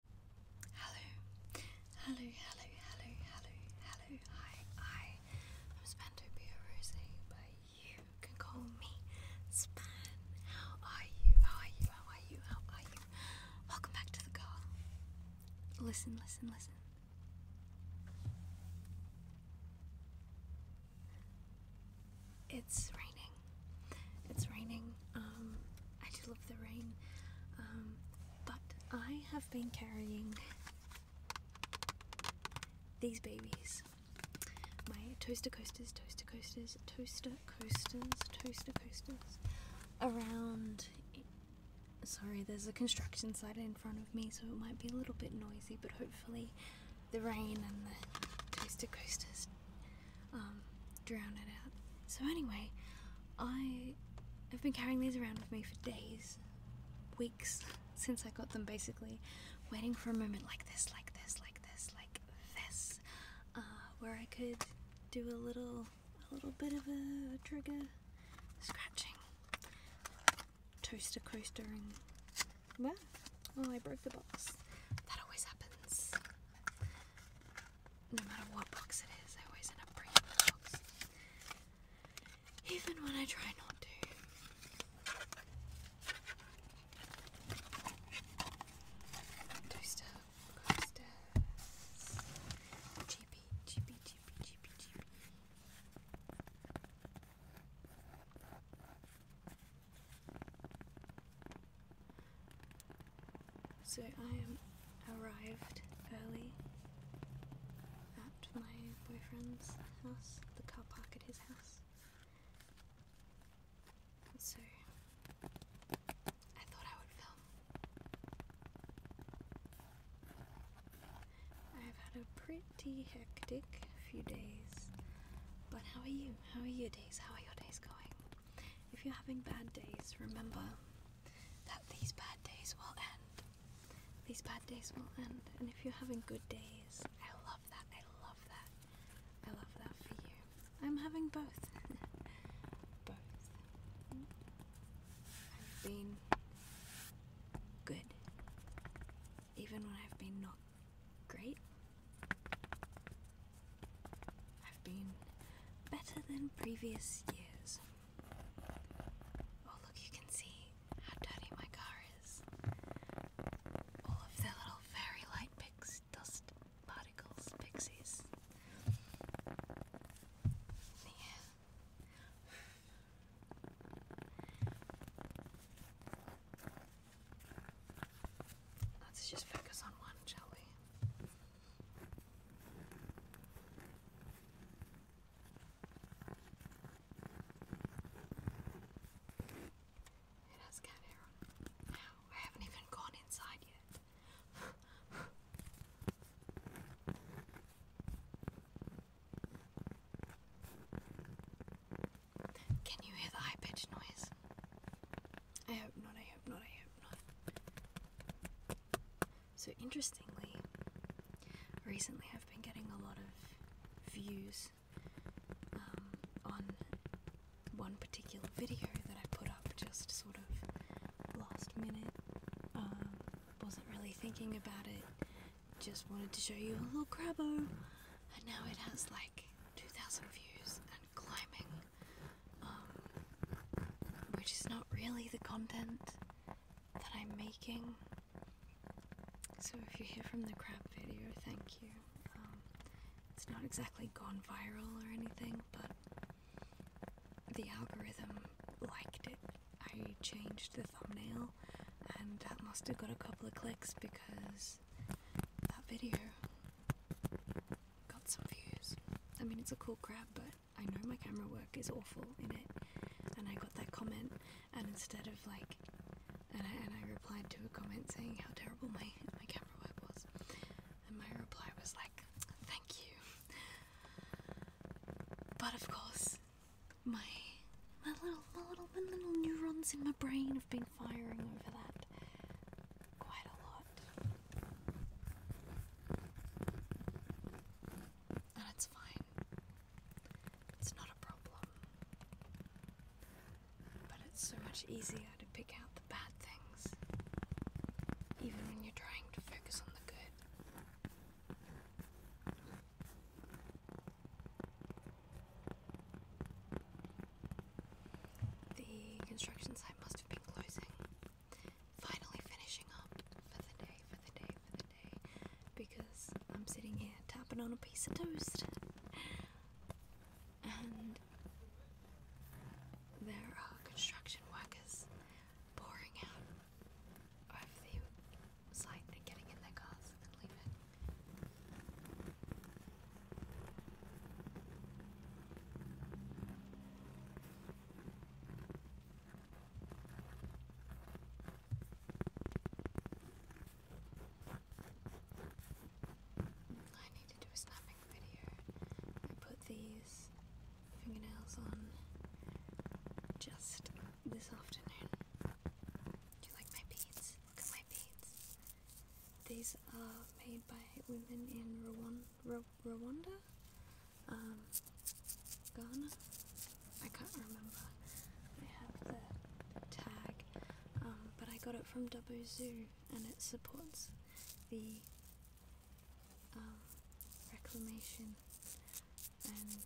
Hello, hello, hello, hello, hello, hello. Hi, I am Spantopia Rose, but you can call me Span. How are you? How are you? How are you? How are you? Welcome back to the car. Listen, listen, listen. It's raining. It's raining. Um, I just love the rain. Um, but I have been carrying these babies. My toaster coasters, toaster coasters, toaster coasters, toaster coasters around. Sorry, there's a construction site in front of me, so it might be a little bit noisy, but hopefully, the rain and the toaster coasters um, drown it out. So anyway, I have been carrying these around with me for days, weeks since I got them basically, waiting for a moment like this, like this, like this, like this, uh, where I could do a little, a little bit of a trigger scratching, toaster coastering. Well, oh, I broke the box. That always happens no matter what box it is, I always end up bringing the box. Even when I try not to. Two step, go steps. GP, GP, GP, GP, GP. So I am arrived early at my boyfriend's house, the car park at his house. So I thought I would film. I've had a pretty hectic few days. But how are you? How are your days? How are your days going? If you're having bad days, remember that these bad days will end. These bad days will end. And if you're having good days, I love that. I love that. I love that for you. I'm having both. both. I've been good. Even when I've been not great, I've been better than previous years. Oh, look, you can see how dirty my car is. All of their little fairy light pix dust particles, pixies. Yeah. Let's just focus on one, shall we? It has cat hair on I haven't even gone inside yet. Can you hear the high pitched noise? I hope not, I hope not, I hope not. So, interestingly, recently I've been getting a lot of views um, on one particular video that I put up just sort of last minute. Um, wasn't really thinking about it, just wanted to show you a little crabbo, and now it has like 2,000 views, climbing, um, which is not really the content that I'm making. So if you hear from the crab video, thank you. Um, it's not exactly gone viral or anything, but the algorithm liked it. I changed the thumbnail, and that must have got a couple of clicks because that video got some views. I mean, it's a cool grab, but I know my camera work is awful in it. And I got that comment, and instead of like, and I, and I replied to a comment saying how terrible my, my camera work was. And my reply was like, thank you. But of course, my my little my little my little neurons in my brain have been been firing over that quite a lot. And it's fine. It's not a problem. But it's so much easier to pick out the bad things, even when you're trying to focus on the good. The construction site must have been closing. Finally finishing up for the day, for the day, for the day. Because I'm sitting here tapping on a piece of toast. And there are construction workers pouring out over the site and getting in their cars and leaving. I need to do a snapping video. I put these fingernails on just this afternoon. Do you like my beads? Look at my beads. These are made by women in Rwanda, um, Ghana. I can't remember. I have the tag, um, but I got it from Dubbo Zoo, and it supports the um, reclamation and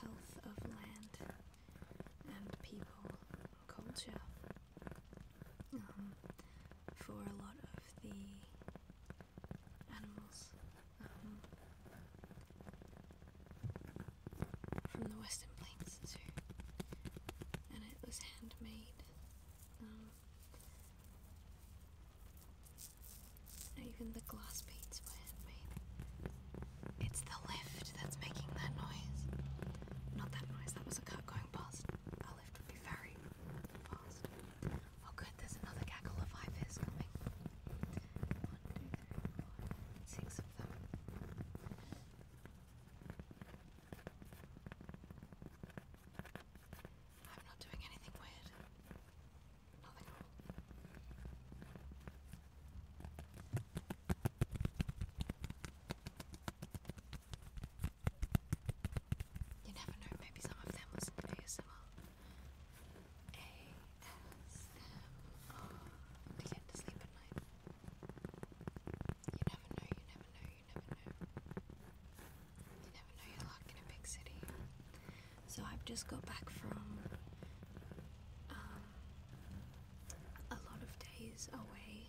health of land and people, culture, um, for a lot of the animals um, from the Western Plains and it was handmade. Um, even the glass beads were handmade. It's the lift that's making that noise. Not that noise, that was a car going past. Our lift would be very fast. Oh good, there's another gaggle of IVs coming. One, two, three, four, six of them. I'm not doing anything weird. Nothing wrong. You never know, maybe some of them listen to ASMR. ASMR to get to sleep at night. You never know, you never know, you never know. You never know your luck in a big city. So I've just got back from um, a lot of days away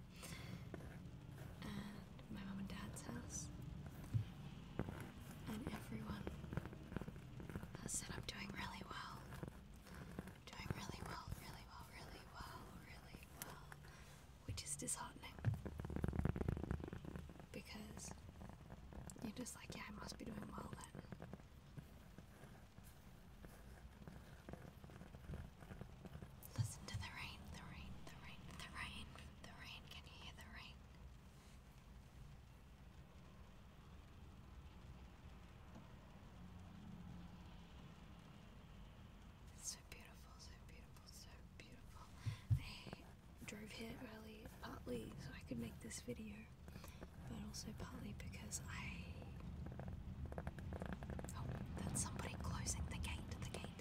and my mom and dad's house. And everyone has said I'm doing really well. doing really well, really well, really well, really well. Which is disheartening. Because you're just like, yeah, I must be doing well then. Listen to the rain, the rain, the rain, the rain, the rain. Can you hear the rain? It's so beautiful, so beautiful, so beautiful. I drove here early partly so I could make this video, but also partly because I. Oh, that's somebody closing the gate, the gate,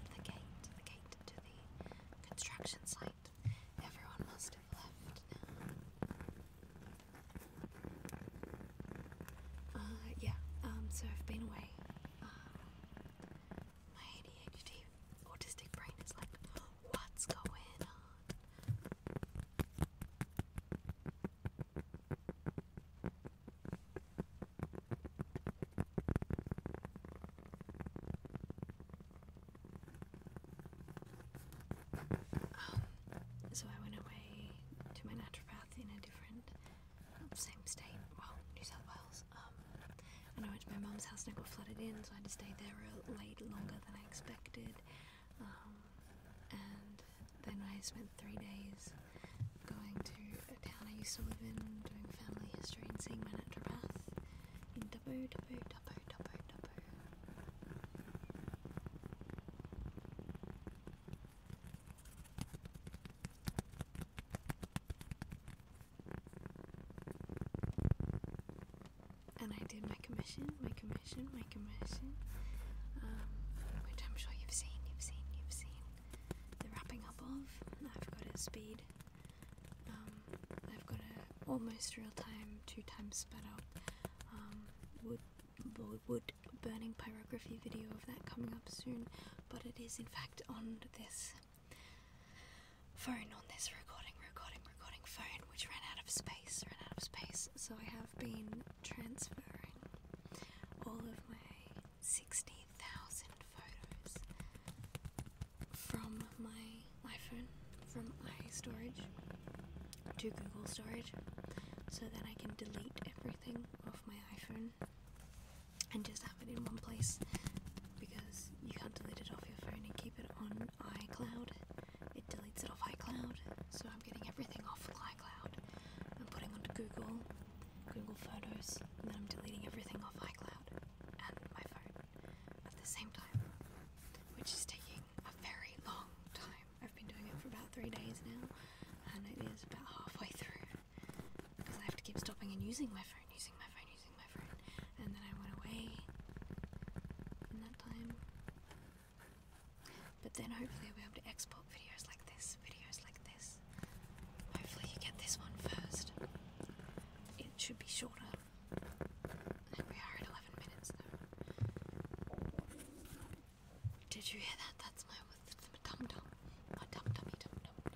construction site. Everyone must have left now. Uh, yeah, um, so I've been away. Uh, my ADHD autistic brain is like, what's going on? Um, so I went away to my naturopath in a different, um, same state, well, New South Wales. Um, and I went to my mum's house and I got flooded in, so I had to stay there a little longer than I expected. Um, and then I spent three days going to a town I used to live in, doing family history and seeing my naturopath in And I did my commission, my commission, my commission, um, which I'm sure you've seen, you've seen, you've seen the wrapping up of. I've got a speed. Um, I've got a almost real time, two times sped up um, wood, wood burning pyrography video of that coming up soon. But it is in fact on this phone, on this recording, recording, recording phone, which ran out of space, ran out of space. So I have been transferring all of my 60,000 photos from my iPhone, from iStorage to Google Storage, so that I can delete everything off my iPhone and just have it in one place because you can't delete it off your phone and keep it on iCloud. It deletes it off iCloud, so I'm getting everything offline iCloud. I'm putting onto Google, Google Photos, and then I'm deleting everything off iCloud and my phone at the same time, which is taking a very long time. I've been doing it for about three days now, and it is about halfway through because I have to keep stopping and using my phone, using my phone, using my phone, and then I went away in that time. But then hopefully I'll be able to export videos like this Hopefully, you get this one first. It should be shorter. We are at 11 minutes Did you hear that? That's my, dum dum. My dum dummy dum dum dum.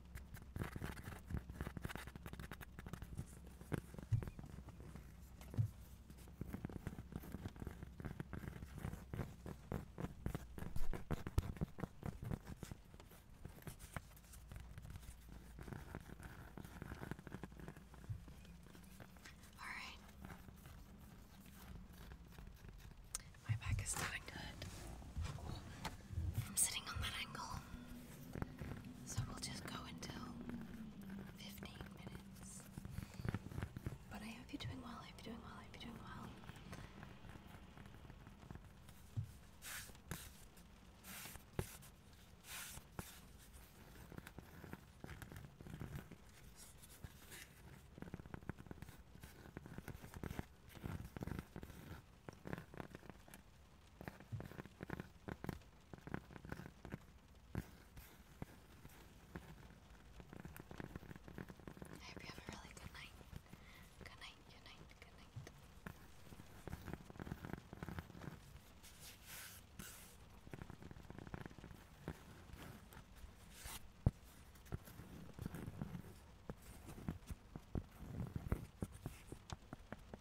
All right. My back is starting to I'm sitting on that angle. So we'll just go until 15 minutes. But I hope you're doing well, I hope you're doing well, I hope you're doing well. I hope you have a really good night. Good night, good night, good night.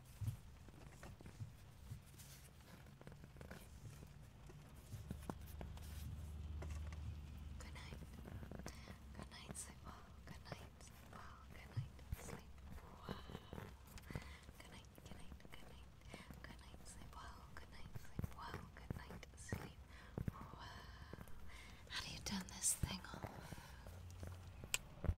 Good night. Good night, sleep well. Good night, sleep well. Good night, sleep well. Good night, good night, good night. Good night, sleep well. Good night, sleep well. Good night, sleep well. How do you turn this thing off?